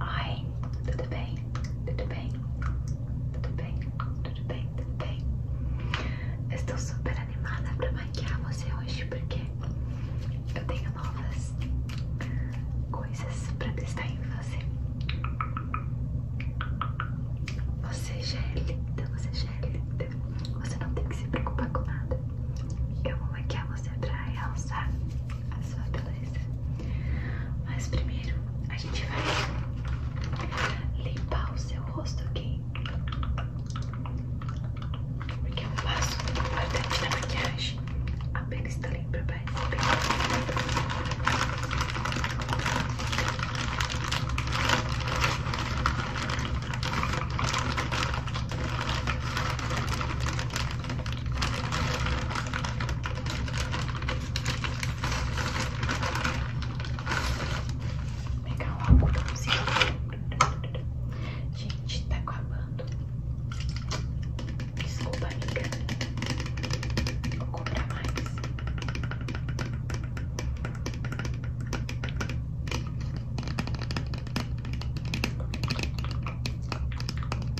Oi, tudo bem? Tudo bem? Tudo bem? Tudo bem? estou super animada para maquiar você hoje porque eu tenho novas coisas para testar em você. Você já é linda, você já é linda. Você não tem que se preocupar com nada. Eu vou maquiar você para realçar a sua beleza. Mas primeiro a gente vai limpar o seu rosto, aqui Porque é um passo importante da maquiagem. A pele está limpa para Vou pegar um algodãozinho. Gente, tá acabando. Desculpa, amiga. Vou comprar mais.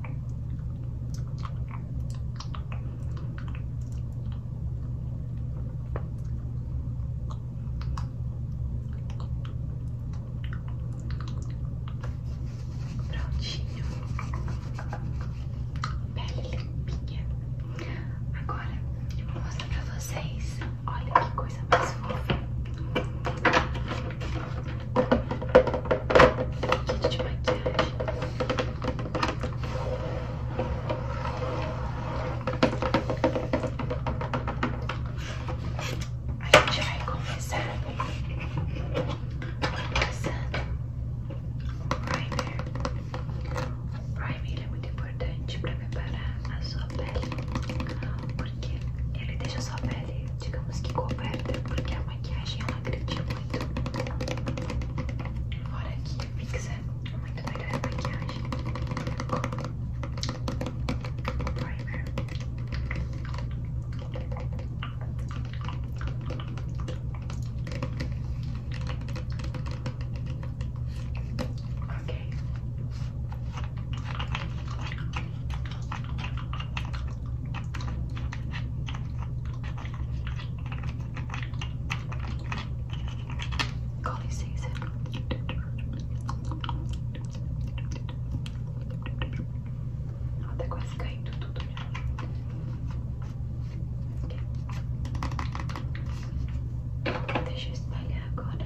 Prontinho, pele limpinha. Agora eu vou mostrar pra vocês. Olha que coisa mais fofa. Kit de maquiagem. A gente vai começar passando o primer. O primer é muito importante para preparar a sua pele, porque ele deixa a sua pele digamos que coberta, porque a maquiagem ela agride muito. Fora que fixa é muito melhor a maquiagem com o Ok. Com licença. Ela tá quase caindo tudo já. Deixa eu espalhar agora.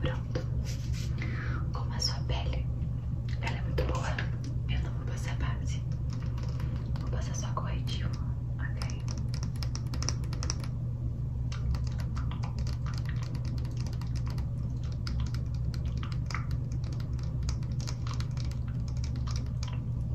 Pronto. Como a sua pele, ela é muito boa, eu não vou passar base. Vou passar só corretivo, ok?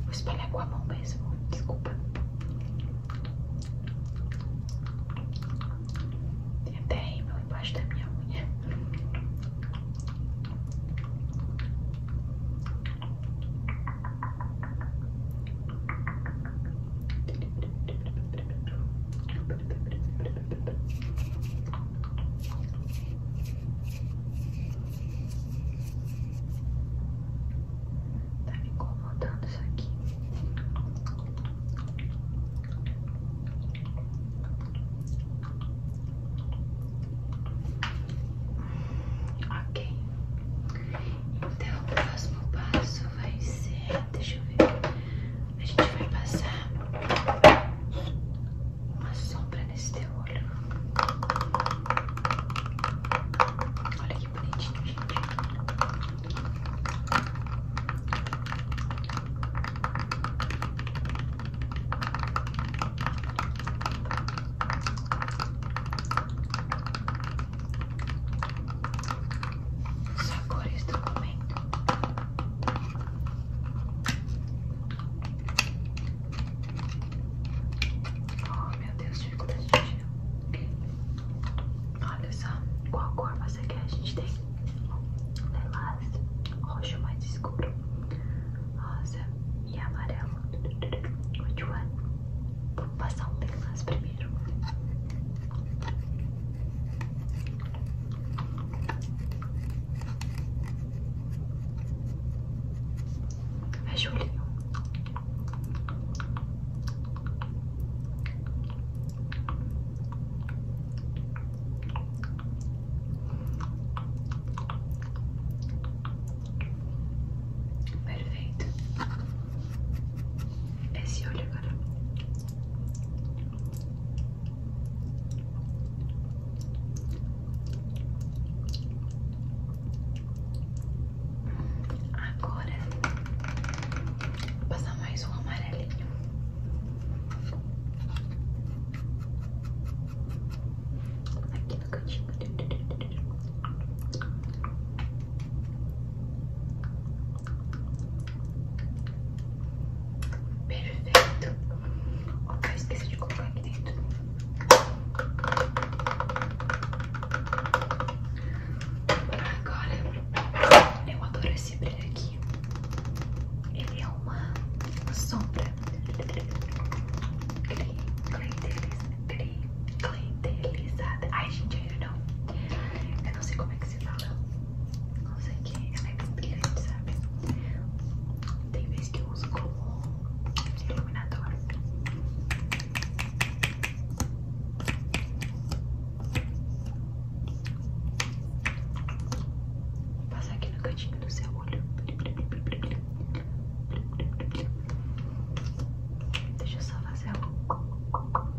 Vou espalhar com a mão mesmo, desculpa. Tem até rímel embaixo da minha unha. Tá me incomodando isso aqui. Ok. Então o próximo passo vai ser. Deixa eu ver. A gente vai passar uma sombra nesse teu olho. Olha que bonitinho, gente. Só cores do momento. Oh, meu Deus, dificuldade de Olha só, qual cor você quer? A gente tem lilás, roxo mais escuro, rosa e amarelo. Which one? Vamos passar um lilás primeiro. Fecha é o olhinho. Perfeito. Esse olho agora. Agora vou passar mais um amarelinho. Aqui no cantinho. Perfeito. Opa, esqueci de colocar aqui dentro. Agora, eu adoro esse brilho aqui. Ele é uma, uma sombra. Clientelizada. Ai, gente, eu não. Eu não sei como é que se fala. Não aqui ela é tão brilhante, sabe? Tem vezes que eu uso como iluminador. Vou passar aqui no cantinho do seu olho. Deixa eu só fazer o.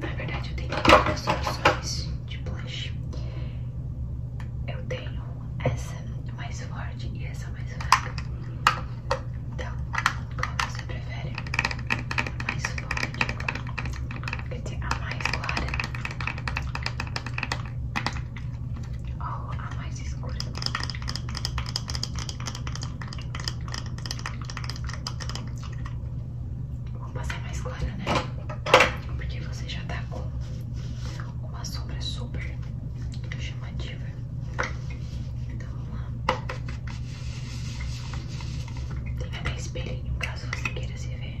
Na verdade, eu tenho duas opções de blush. Eu tenho essa mais forte e essa mais fraca. Então, qual você prefere? A mais forte, quer dizer, a mais clara ou a mais escura? Vou passar é mais clara, né? Porque você já tá com uma sombra super chamativa. Então vamos lá. Tem até espelhinho caso você queira se ver.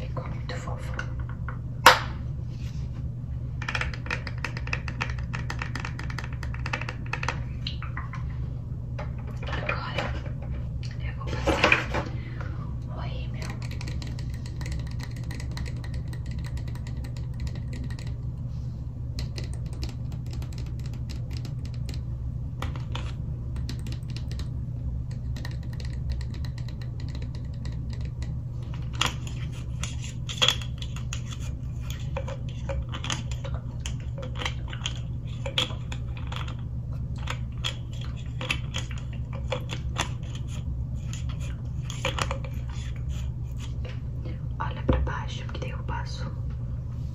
Ficou muito fofo. Agora eu vou passar o rímel. Olha para baixo, porque daí eu passo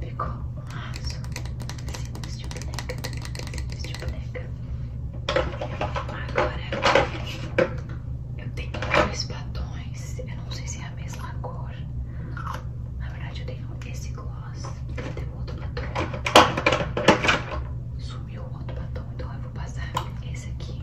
Pegou um laço, cintos de boneca, cintos de boneca. Agora eu tenho dois batons, eu não sei se é a mesma cor. Na verdade eu tenho esse gloss, tem outro batom. Sumiu o outro batom, então eu vou passar esse aqui.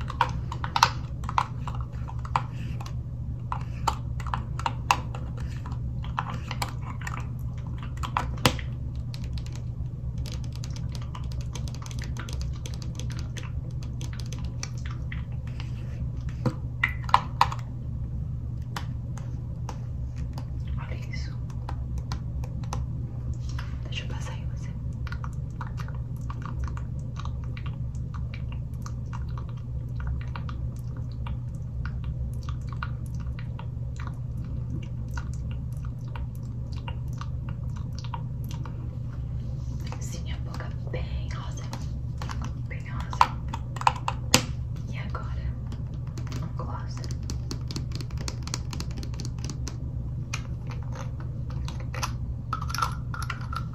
Olha isso. Deixa eu passar em você. Sim, a boca bem rosa, bem rosa. E agora, um gloss.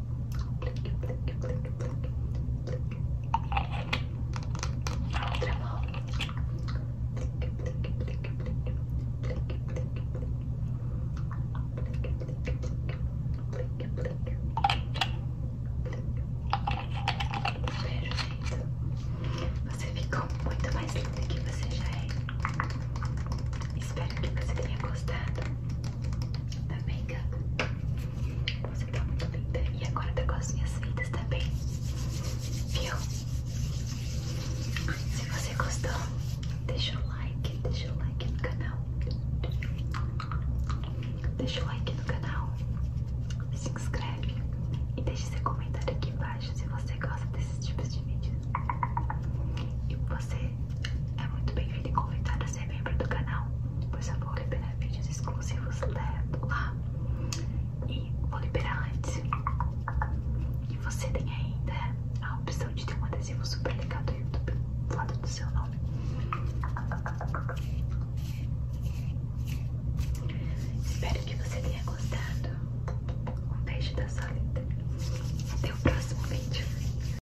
Plique, plique, plique, plique, plique. A outra mão. Plique, plique, plique, plique, plique, plique, plique, plique, plique, plique, plique. Perfeito. Você ficou muito mais linda que você já é. Espero que você tenha gostado. Amiga, tá você tá muito linda. E agora tá com as minhas feitas também. Viu? Se você gostou, deixa o like, deixa o like no canal. Deixa o like no canal. Se inscreve e deixa seu comentário aqui embaixo se você gosta desses tipos de vídeos. E você é muito bem-vindo e convidado a você membro do canal, pois eu vou liberar vídeos exclusivos lá e vou liberar antes. E você tem ainda a opção de ter um adesivo super legal do YouTube do lado do seu nome. Espero que você tenha gostado. Um beijo da sua linda. Até o próximo vídeo.